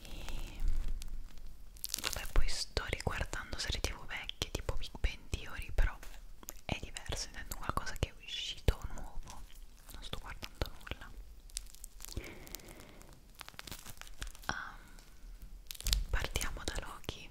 E vabbè, poi sto riguardando serie tv vecchie tipo Big Bang Theory, però è diverso, intendo qualcosa che è uscito nuovo, non sto guardando nulla. Um, partiamo da Loki.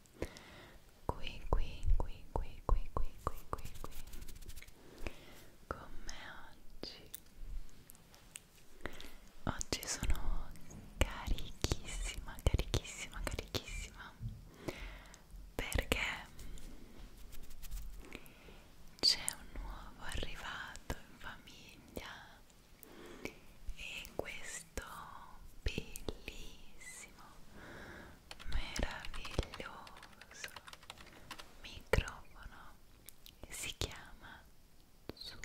qui qui qui qui qui qui qui qui qui come oggi oggi sono carichissima carichissima carichissima perché c'è un nuovo arrivato in famiglia e questo bellissimo meraviglioso microfono si chiama Zoom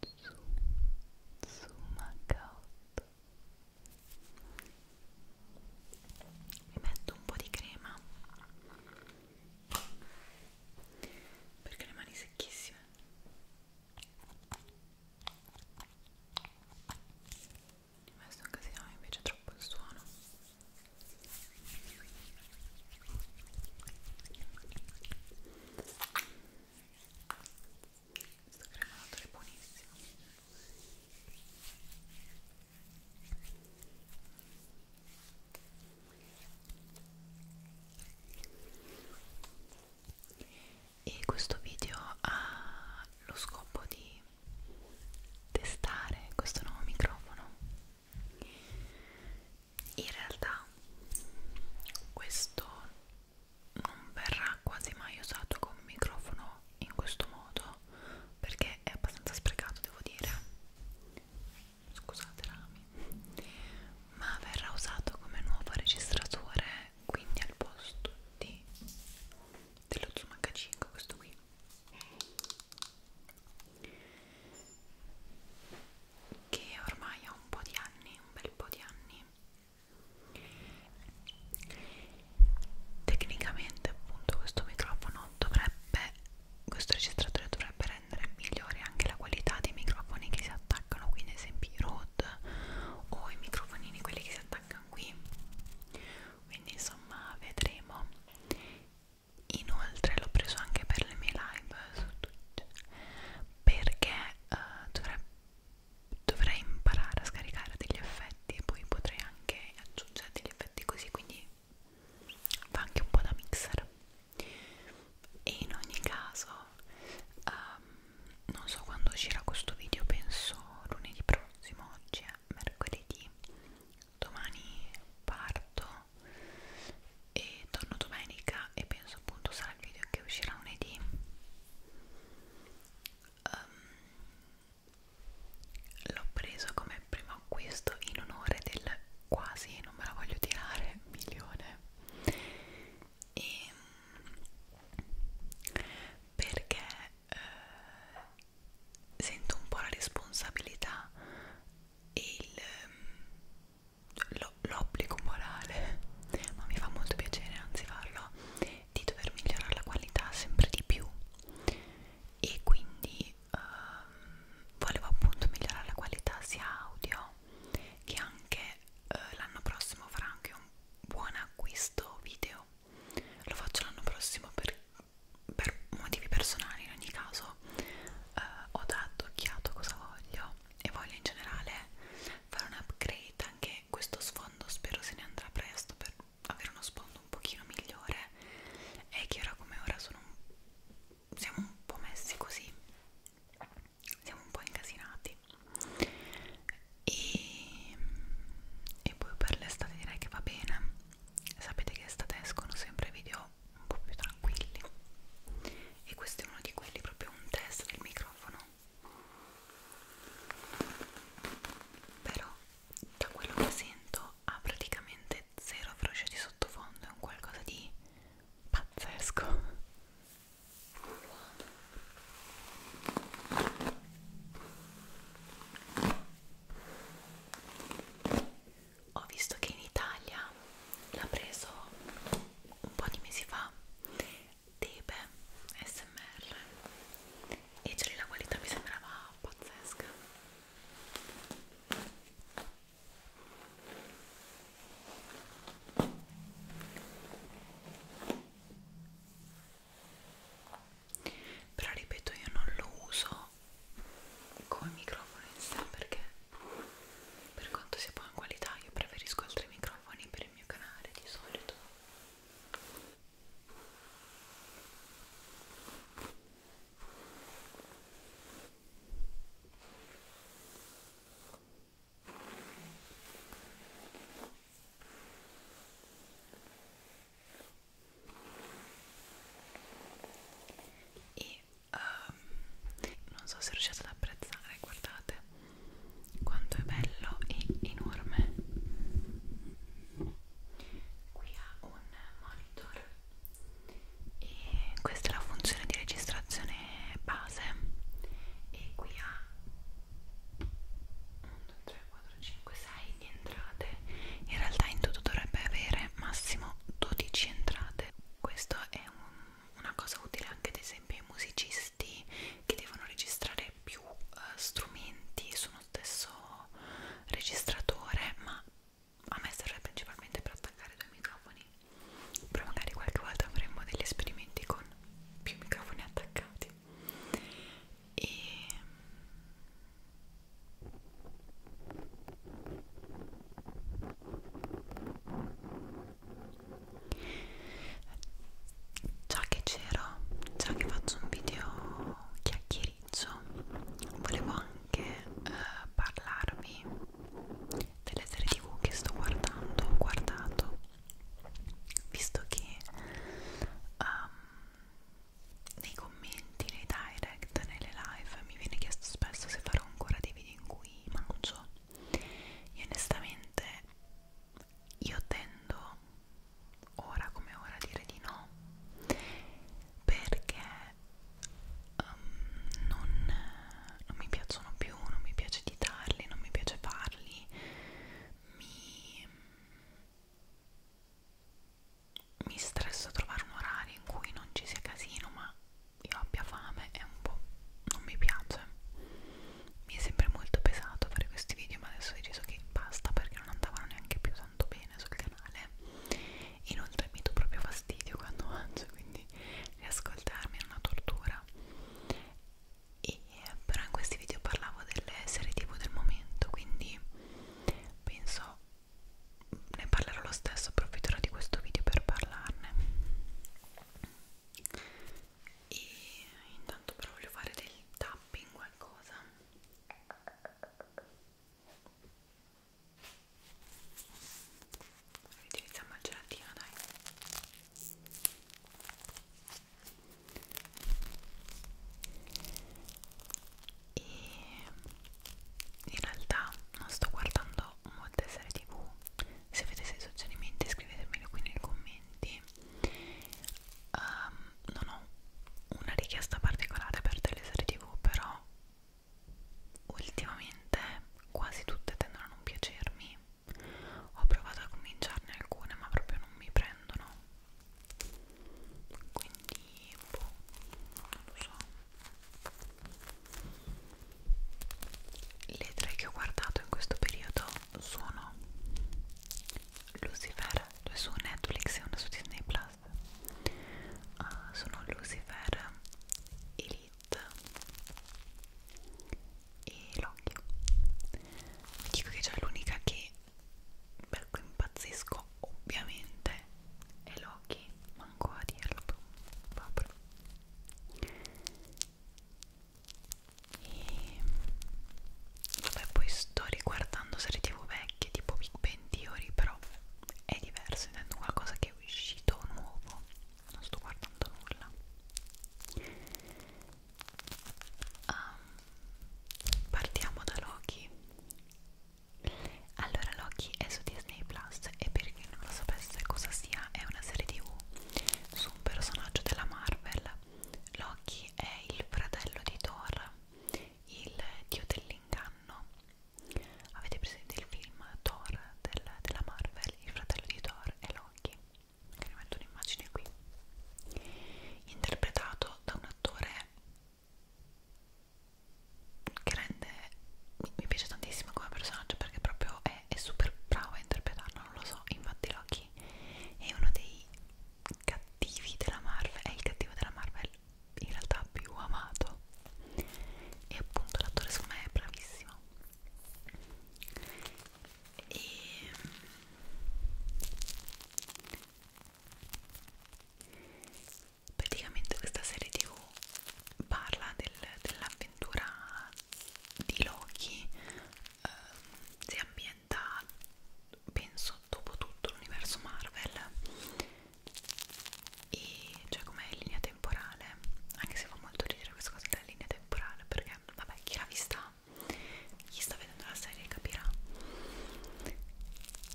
Zoom Zoom H8 mi metto un po' di crema perché le mani secchissime in questa occasione invece è troppo il suono questo cremato è buonissimo e questo video ha lo scopo di testare questo nuovo microfono in realtà questo non verrà quasi mai usato come microfono in questo modo perché è abbastanza sprecato devo dire scusate Rami ma verrà usato come nuovo registratore quindi al posto di dello Zoom H5 questo qui che ormai ha un po' di anni, un bel po' di anni tecnicamente appunto questo microfono dovrebbe questo registratore dovrebbe rendere migliore anche la qualità dei microfoni che si attaccano quindi ad esempio i Rode o i microfonini quelli che si attaccano American qui quindi insomma vedremo inoltre l'ho preso anche per le mie live su Twitch perché uh, eh, dovrei, dovrei imparare a scaricare degli effetti e poi potrei anche aggiungere degli effetti così quindi fa anche un po' da mixer e in ogni caso um, non so quando uscirà questo video, penso lunedì prossimo, oggi è mercoledì, domani parto e torno domenica e penso appunto sarà il video che uscirà lunedì. Um, L'ho preso come primo acquisto in onore del quasi, non me la voglio tirare, milione. E ehm, perché eh, sento un po' la responsabilità e ehm, l'obbligo morale, ma mi fa molto piacere anzi farlo, di dover migliorare la qualità sempre di più e quindi ehm, volevo appunto migliorare la qualità sia audio che anche eh, l'anno prossimo farà anche un buon acquisto video lo faccio l'anno prossimo per, per motivi personali in ogni caso eh, ho dato occhiato cosa voglio e voglio in generale fare un upgrade anche questo sfondo spero se ne andrà presto per avere uno sfondo un pochino migliore e che ora come ora sono un, siamo un po' messi così siamo un po' incasinati e, e poi per l'estate direi che va bene sapete che estate escono sempre video un po' più tranquilli e questo è uno di quelli proprio un test del microfono però da quello che sento ha praticamente zero voce di sottofondo è un qualcosa di pazzesco wow. Ho visto che in Italia l'ha preso un po' di mesi fa Tebe SMR e cioè la qualità mi sembrava pazzesca però ripeto io non lo uso come microfono in sé perché per quanto sia buona qualità io preferisco altri microfoni per il mio canale di solito e um, non so se riuscite ad apprezzare guardate quanto è bello e enorme qui ha un monitor e questa è la funzione di registrazione base e qui ha un 2, 3, 4, 5, 6 di entrate in realtà in tutto dovrebbe avere massimo 12 entrate questo è un, una cosa utile anche ad esempio ai musicisti che devono registrare più uh, strumenti su uno stesso registratore ma a me serve principalmente per attaccare due microfoni però magari qualche volta avremo degli esperimenti con più microfoni attaccati e già che c'ero già che faccio un video chiacchiericcio volevo anche eh, parlarvi delle serie tv che sto guardando ho guardato visto che um, nei commenti, nei direct, nelle live mi viene chiesto spesso se farò ancora dei video in cui mangio e onestamente io tendo ora come ora a dire di no perché um, non, non mi piacciono più, non mi piace editarli, non mi piace farli mi mi stresso trovare un orario in cui non ci sia casino ma io abbia fame è un po' non mi piace mi è sempre molto pesato fare questi video ma adesso ho deciso che basta perché non andavano neanche più tanto bene sul canale inoltre mi do proprio fastidio quando mangio quindi riascoltarmi è una tortura e eh, però in questi video parlavo delle serie tv del momento quindi penso ne parlerò lo stesso approfitterò di questo video per parlarne e intanto però voglio fare del tapping qualcosa utilizziamo il gelatino dai e in realtà non sto guardando molte serie tv se avete dei suggerimenti scrivetemelo qui nei commenti um, non ho una richiesta particolare per delle serie tv però ultimamente quasi tutte tendono a non piacermi ho provato a cominciarne alcune ma proprio non mi prendono quindi boh, non lo so le tre che ho guardato in questo periodo sono Lucifer, due su Netflix e una su Disney Plus uh, sono Lucifer, Elite e Loki vi dico che c'è l'unica che per cui impazzisco ovviamente e Loki manco a dirlo proprio e vabbè poi sto riguardando serie tv vecchie tipo Big Bang Theory però è diverso intendo qualcosa che è uscito nuovo non sto guardando nulla um, partiamo da Loki allora Loki è su Disney Plus e per chi non lo sapesse cosa sia è una serie tv su un personaggio della Marvel Loki è il fratello di Thor il dio dell'inganno avete presente il film Thor del, della Marvel il fratello di Thor è Loki che ne metto un'immagine qui interpretato da un attore che rende mi, mi piace tantissimo come personaggio perché proprio è, è super bravo a interpretarlo non lo so infatti Loki è uno dei cattivi della Marvel è il cattivo della Marvel in realtà più amato e appunto l'attore secondo me è bravissimo e praticamente questa serie tv parla del, dell'avventura di Loki eh, si ambienta penso dopo tutto l'universo Marvel e cioè come linea temporale anche se fa molto ridere questa cosa della linea temporale perché vabbè chi l'ha vista chi sta vedendo la serie capirà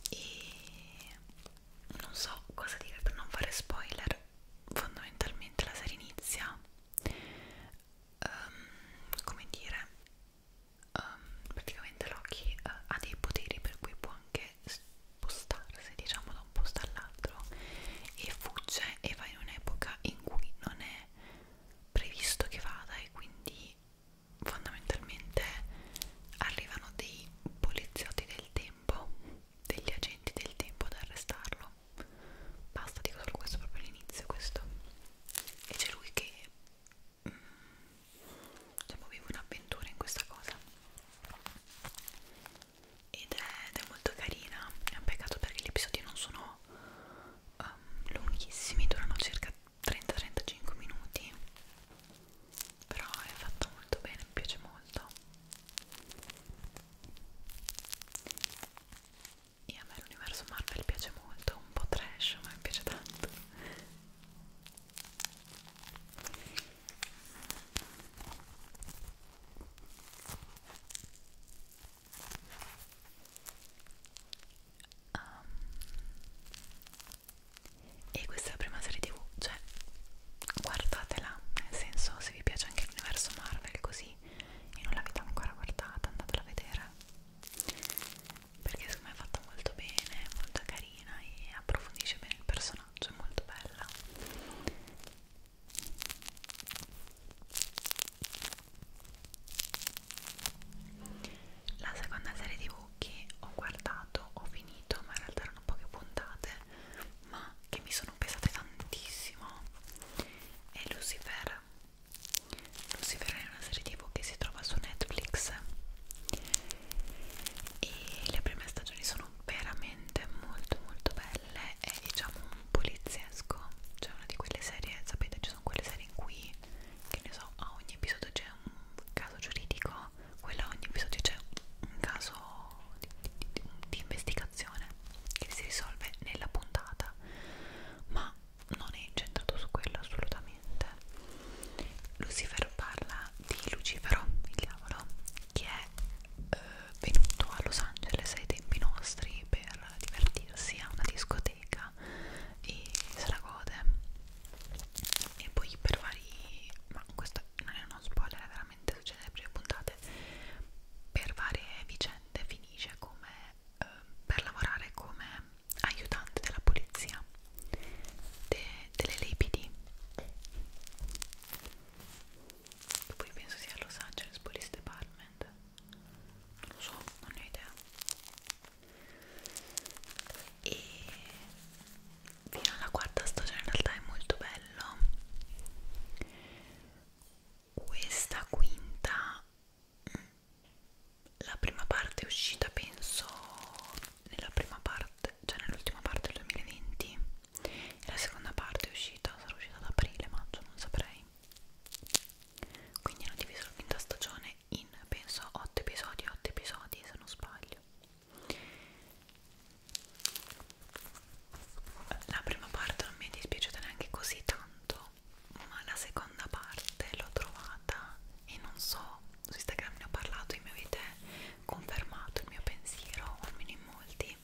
e non so cosa dire per non fare spoiler fondamentalmente la serie inizia um, come dire um, praticamente Loki uh, ha dei poteri per cui può anche spostarsi diciamo da un posto all'altro e fugge e va in un'epoca in cui non è previsto che vada e quindi fondamentalmente arrivano dei poliziotti del tempo, degli agenti del tempo ad arrestarlo. Basta, dico solo questo proprio all'inizio, questo. E c'è lui che mm, diciamo, vive un'avventura in questa cosa. Ed è, ed è molto carina, è un peccato perché gli episodi non sono um, lunghissimi, durano circa 30-35 minuti però è fatto molto bene, mi piace molto e a me l'universo Marvel piace molto, un po' trash ma mi piace tanto Um, e questa è la prima serie tv, cioè guardatela, nel senso se vi piace anche l'universo Marvel così e non l'avete ancora guardata andatela a vedere perché secondo me è fatta molto bene, molto carina e approfondisce bene il personaggio, è molto bella la seconda serie tv che ho guardato, ho finito, ma in realtà erano poche puntate, ma che mi sono pesate tantissimo, è Lucifer. Lucifer è una serie tv che si trova su Netflix e le prime stagioni sono veramente molto molto belle, è diciamo un poliziesco, cioè una di quelle serie, sapete ci sono quelle serie in cui, che ne so, a ogni ogni episodio c'è un caso giuridico, quello ogni episodio c'è un caso di, di, di, di investigazione che si risolve nella puntata, ma non è incentrato su quello assolutamente. Lucifer parla di Lucifero, il diavolo, che è eh, venuto a Los Angeles ai tempi nostri per divertirsi a una discoteca e se la gode e poi per vari ma questo non è uno spoiler, veramente succede nelle prime puntate per varie vicende finisce come eh, per lavorare come aiutante della polizia de, delle LAPD poi penso sia a Los Angeles Police Department non lo so, non ne ho idea e fino alla quarta stagione in realtà è molto bello questa quinta mm, la prima parte è uscita penso nella prima parte cioè nell'ultima parte del 2020 e la seconda parte è uscita sarà uscita ad aprile maggio non saprei quindi hanno diviso la quinta stagione in penso 8 episodi 8 episodi se non sbaglio la prima parte non mi è dispiaciuta neanche così tanto ma la seconda parte l'ho trovata e non so su Instagram ne ho parlato e mi avete confermato il mio pensiero o almeno in molti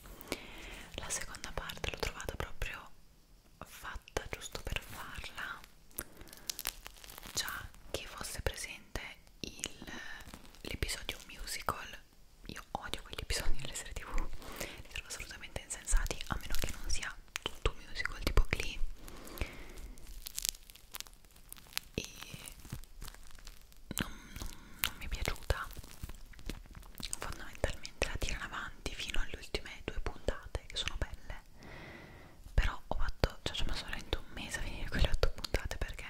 la seconda parte l'ho trovata proprio fatta giusto per farla già che fosse presente l'episodio musical io odio quegli episodi delle serie tv li trovo assolutamente insensati a meno che non sia tutto musical tipo Glee e non, non, non mi è piaciuta fondamentalmente la tirano avanti fino alle ultime due puntate che sono belle però ho fatto, cioè ci ho messo veramente un mese a finire quelle 8 puntate perché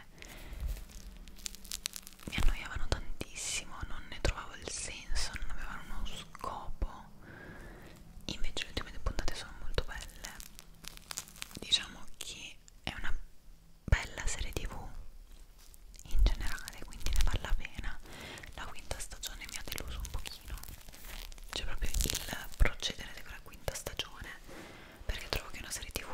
mi annoiavano tantissimo, non ne trovavo il senso, non avevano uno scopo invece le ultime due puntate sono molto belle diciamo che è una bella serie tv in generale quindi ne vale la pena la quinta stagione mi ha deluso un pochino c'è proprio il procedere della quinta stagione perché trovo che una serie tv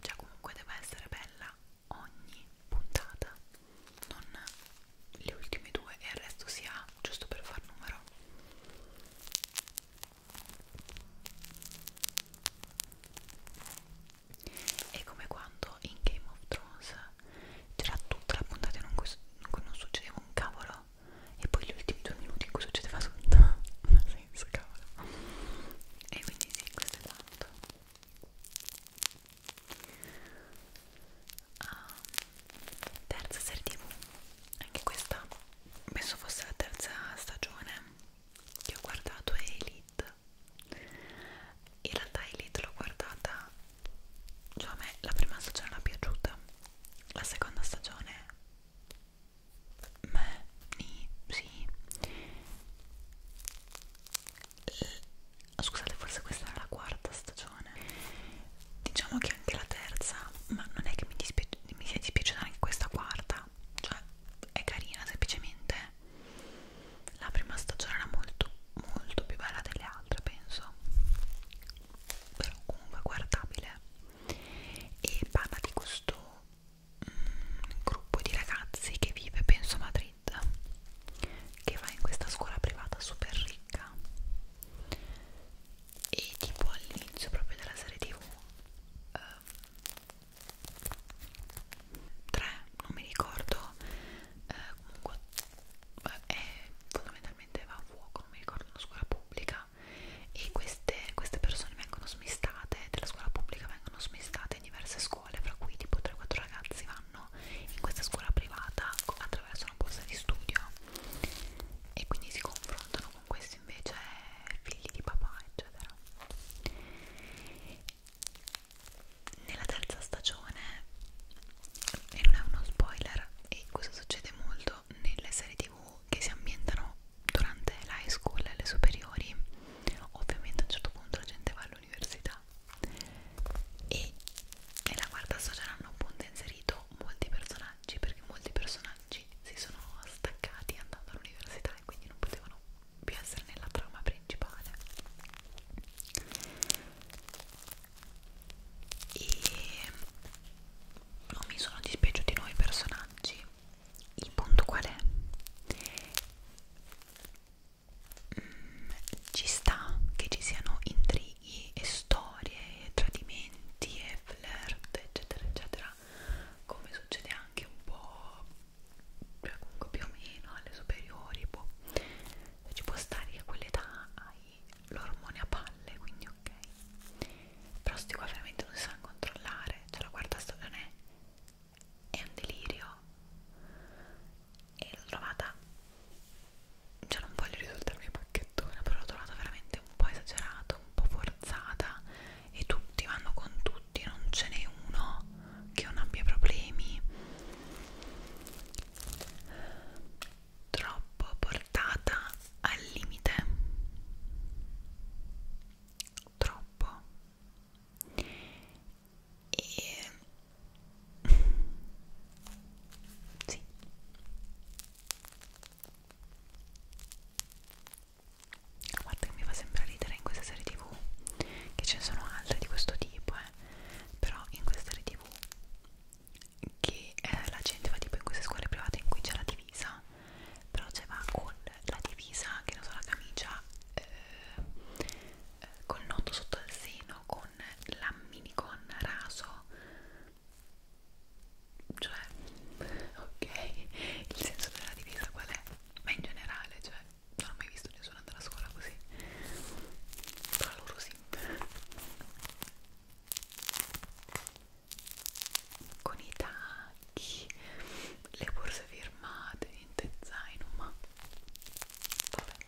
cioè comunque deve essere bella ogni puntata non le ultime due e il resto si ha giusto per far numero è come quando in Game of Thrones c'era tutta la puntata in cui non succedeva un cavolo nulla e poi gli ultimi due minuti in cui succedeva tutto non ha senso cavolo e quindi sì questo è tanto um, terza serie tv anche questa penso fosse la terza stagione che ho guardato è Elite in realtà Elite l'ho guardata cioè a me la prima stagione non è piaciuta la seconda stagione me, ni, sì scusate forse questa era la quarta stagione diciamo che anche la terza ma non è che mi, dispia mi sia dispiaciuta anche questa quarta cioè è carina semplicemente la prima stagione era molto molto più bella delle altre penso però comunque guardabile e parla di questo mm, gruppo di ragazzi che vive penso a Madrid che va in questa scuola privata super ricca e tipo all'inizio proprio della serie tv 3 um, non mi ricordo uh, comunque eh, è fondamentalmente va a fuoco non mi ricordo una scuola pubblica e queste, queste persone vengono smistate della scuola pubblica vengono smistate in diverse scuole fra cui tipo 3-4 ragazzi vanno in questa scuola privata attraverso una borsa di studio e quindi si confrontano con questi invece figli di papà eccetera nella terza stagione e non è uno spoiler e questo succede molto nelle serie tv che si ambientano durante l'high school e le superiori ovviamente a un certo punto la gente va all'università e nella quarta stagione hanno appunto inserito molti personaggi perché molti personaggi si sono staccati andando all'università e quindi non potevano più essere nella trama principale e non mi sono dispiaciuti nuovi personaggi il punto qual è? Mm, ci sta che ci siano intrighi e storie e tradimenti e flirt eccetera eccetera come succede anche un po' cioè comunque più o meno alle superiori boh. ci può stare che a quell'età hai l'ormone a palle quindi ok però sti qua veramente non si sa controllare cioè la quarta stagione è un delirio e l'ho trovata cioè non voglio risultarmi pacchettona però l'ho trovata veramente un po' esagerata un po' forzata e tutti vanno con tutti non ce n'è uno che non abbia problemi troppo portata al limite troppo e sì guarda che mi fa sempre ridere in queste serie tv che ce ne sono altre di questo tipo eh. però in queste serie tv che eh, la gente va tipo in queste scuole private in cui c'è la divisa però ce va con la divisa che non so la camicia eh, eh, col nodo sotto al seno con la minicon raso cioè ok il senso della divisa qual è? ma in generale cioè non ho mai visto nessuno andare a scuola così però loro sì con i tacchi, le borse firmate, niente zaino, ma vabbè.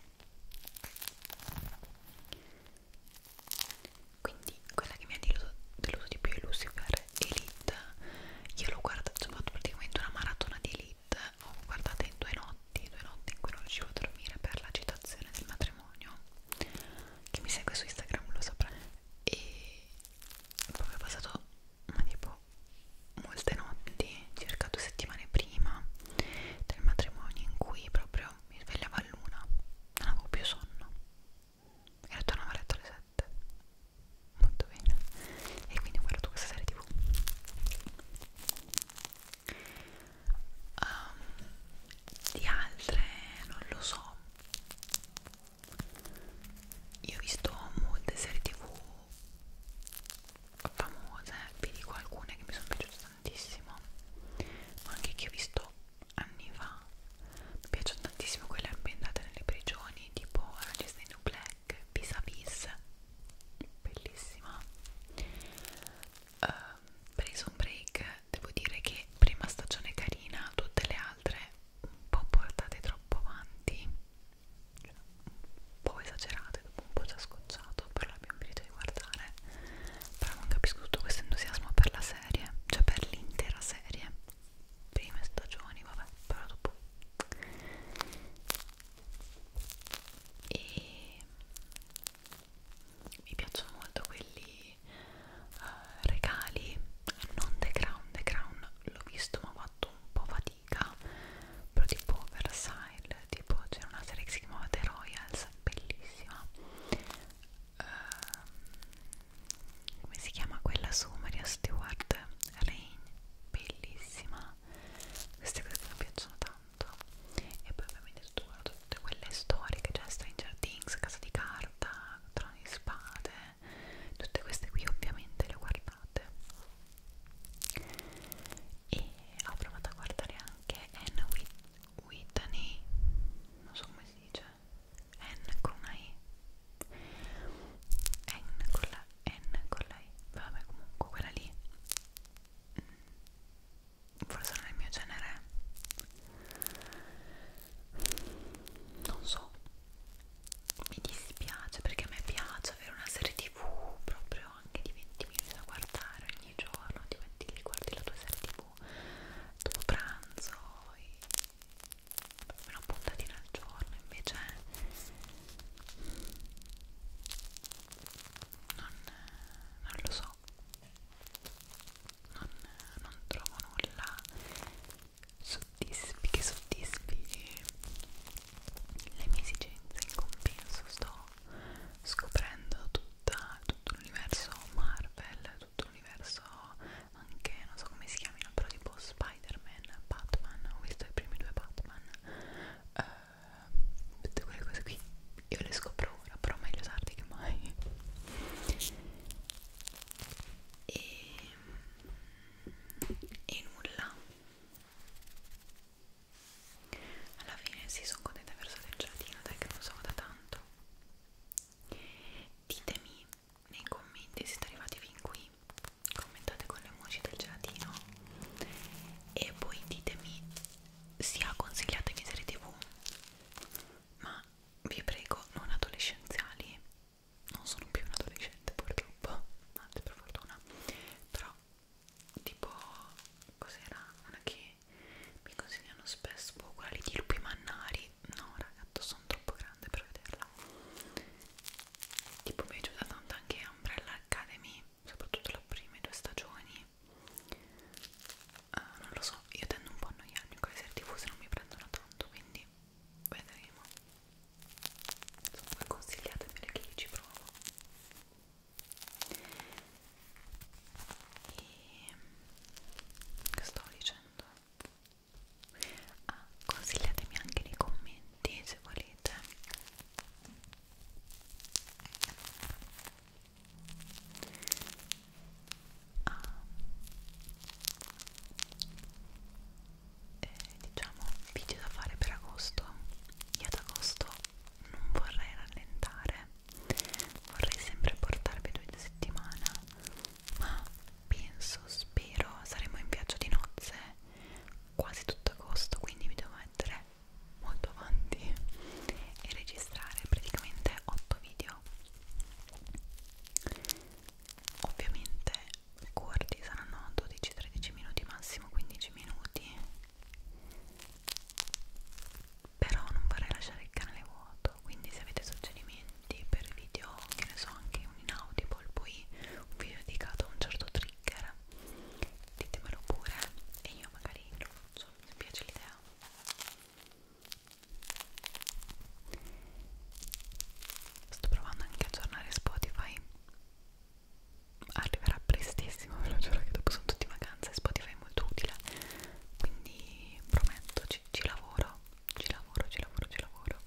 Quindi quella che mi ha deluso, deluso di più è Lucifer Elite. Io l'ho guardato, ho fatto praticamente una maratona di Elite, ho guardato in due notti, due notti in cui non riuscivo a dormire per l'agitazione del matrimonio. Chi mi segue su Instagram lo saprà. E proprio passato ma tipo molte notti circa due settimane prima del matrimonio in cui proprio mi svegliavo a luna non avevo più sonno e tornavo a letto alle 7 molto bene e quindi ho guardato questa serie tv um, ehm, di altre non lo so io ho visto molte serie tv famose vi dico alcune che mi sono piaciute tantissimo ma anche che ho visto anni fa mi piacciono tantissimo quelle ambientate nelle prigioni tipo Ragazzi New Black Vis a Vis bellissima uh, Prison Break devo dire che prima stagione carina tutte le altre un po' portate troppo avanti cioè, un po' esagerate dopo un po' già scocciato però l'abbiamo finito di guardare però non capisco tutto questo entusiasmo per la serie cioè per l'intera serie prime stagioni vabbè però dopo e mi piacciono molto quelli di eh, regali non The Crown, The Crown l'ho visto ma ho fatto un po' fatica però tipo Versailles tipo c'era una serie che si chiamava The Royals bellissima uh, come si chiama quella su Maria Stewart Rain bellissima queste cose mi piacciono tanto e poi ovviamente tutto guardo tutte quelle storiche cioè Stranger Things, Casa di Carta Trono di Spade tutte queste qui ovviamente le guardate e ho provato a guardare anche Anna Whitney non so come si dice Anne con una E Anne con la N con la E vabbè comunque quella lì mm. forse non è il mio genere non so mi dispiace perché a me piace avere una serie tv proprio anche di 20 minuti da guardare ogni giorno ti metti lì, guardi la tua serie tv dopo pranzo e una puntatina al giorno invece non, non lo so non, non trovo nulla soddisfi, che soddisfi le mie esigenze in compenso sto scoprendo tutta, tutto l'universo Marvel, tutto l'universo anche, non so come si chiamino, però tipo Spider-Man, Batman, ho visto i primi due Batman uh, tutte quelle cose qui, io le scopro ora, però meglio tardi che mai e e nulla alla fine si sì, sono contenta verso del gelatino dai che non so da tanto ditemi nei commenti se siete arrivati fin qui commentate con le emoji del gelatino e poi ditemi sia consigliatemi serie tv ma vi prego non adolescenziali non sono più un adolescente purtroppo, anzi per fortuna, però tipo cos'era una che mi consigliano spesso, boh, quella lì di lupi mannari, no ragazzo sono troppo grande per vederla, tipo mi è piaciuta tanto anche Umbrella Academy, soprattutto le prime due stagioni, uh, non lo so, io tendo un po' a annoiarmi con le serie tv se non mi prendono tanto, quindi vedremo insomma consigliatemi perché io ci provo e che sto dicendo? Ah, consigliatemi anche nei commenti se volete a ah. eh, diciamo video da fare per agosto io ad agosto non vorrei rallentare vorrei sempre portarvi due di settimana ma penso spero saremo in viaggio di nozze quasi tutto agosto quindi vi devo mettere molto avanti e registrare praticamente 8 video ovviamente corti saranno 12-13 minuti massimo 15 minuti però non vorrei lasciare il canale vuoto quindi se avete suggerimenti per video che ne so anche un inaudible poi un video dedicato a un certo trigger ditemelo pure e io magari lo faccio mi piace l'idea sto provando anche a aggiornare Spotify arriverà prestissimo ve lo giuro che dopo sono tutti in vacanza e Spotify è molto utile quindi prometto ci, ci lavoro ci lavoro ci lavoro ci lavoro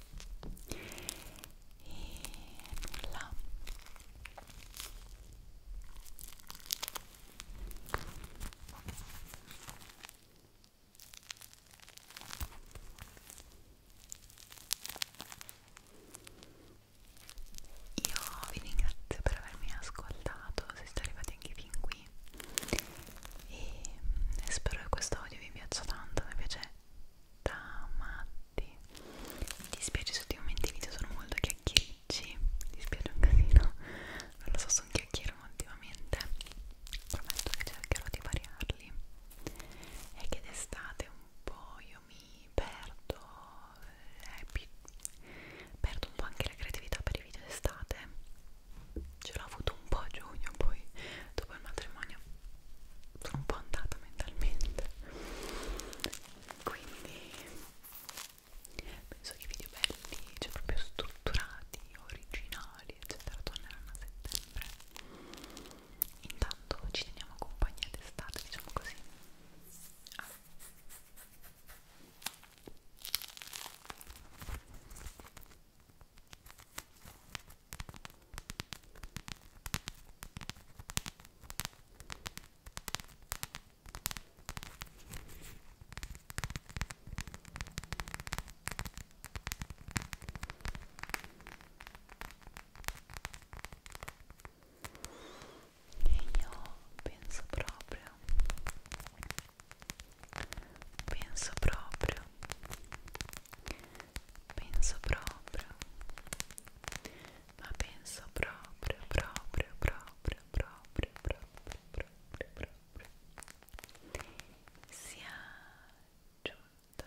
e nulla io vi ringrazio per avermi ascoltato, se siete arrivati anche fin qui e mm, spero che questo audio vi piaccia tanto, mi piace da matti. Mi dispiace se ultimamente i video sono molto chiacchiericci, mi dispiace un casino, non lo so, sono chiacchiero ultimamente, prometto che cercherò di variarli è che d'estate un po' io mi perdo, eh, più, perdo un po' anche la creatività per i video d'estate, ce l'ho avuto un po' a giugno, poi dopo il matrimonio sono un po' andata mentalmente, quindi penso che i video belli, cioè proprio strutturati, originali, eccetera, torneranno a settembre intanto ci teniamo compagnia d'estate diciamo così ah e io penso proprio penso proprio penso proprio ma penso proprio proprio proprio proprio proprio proprio proprio sia giunta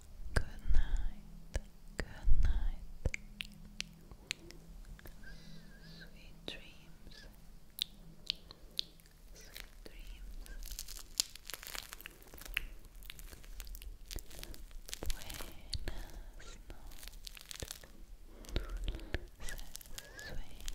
Good night. Good night. Sweet dreams. Sweet dreams. Buenas noches. Sueña. Sueña.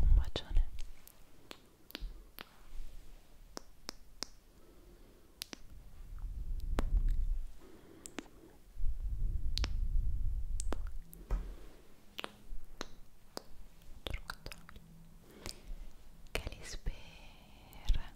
Un bacione. Che li spera.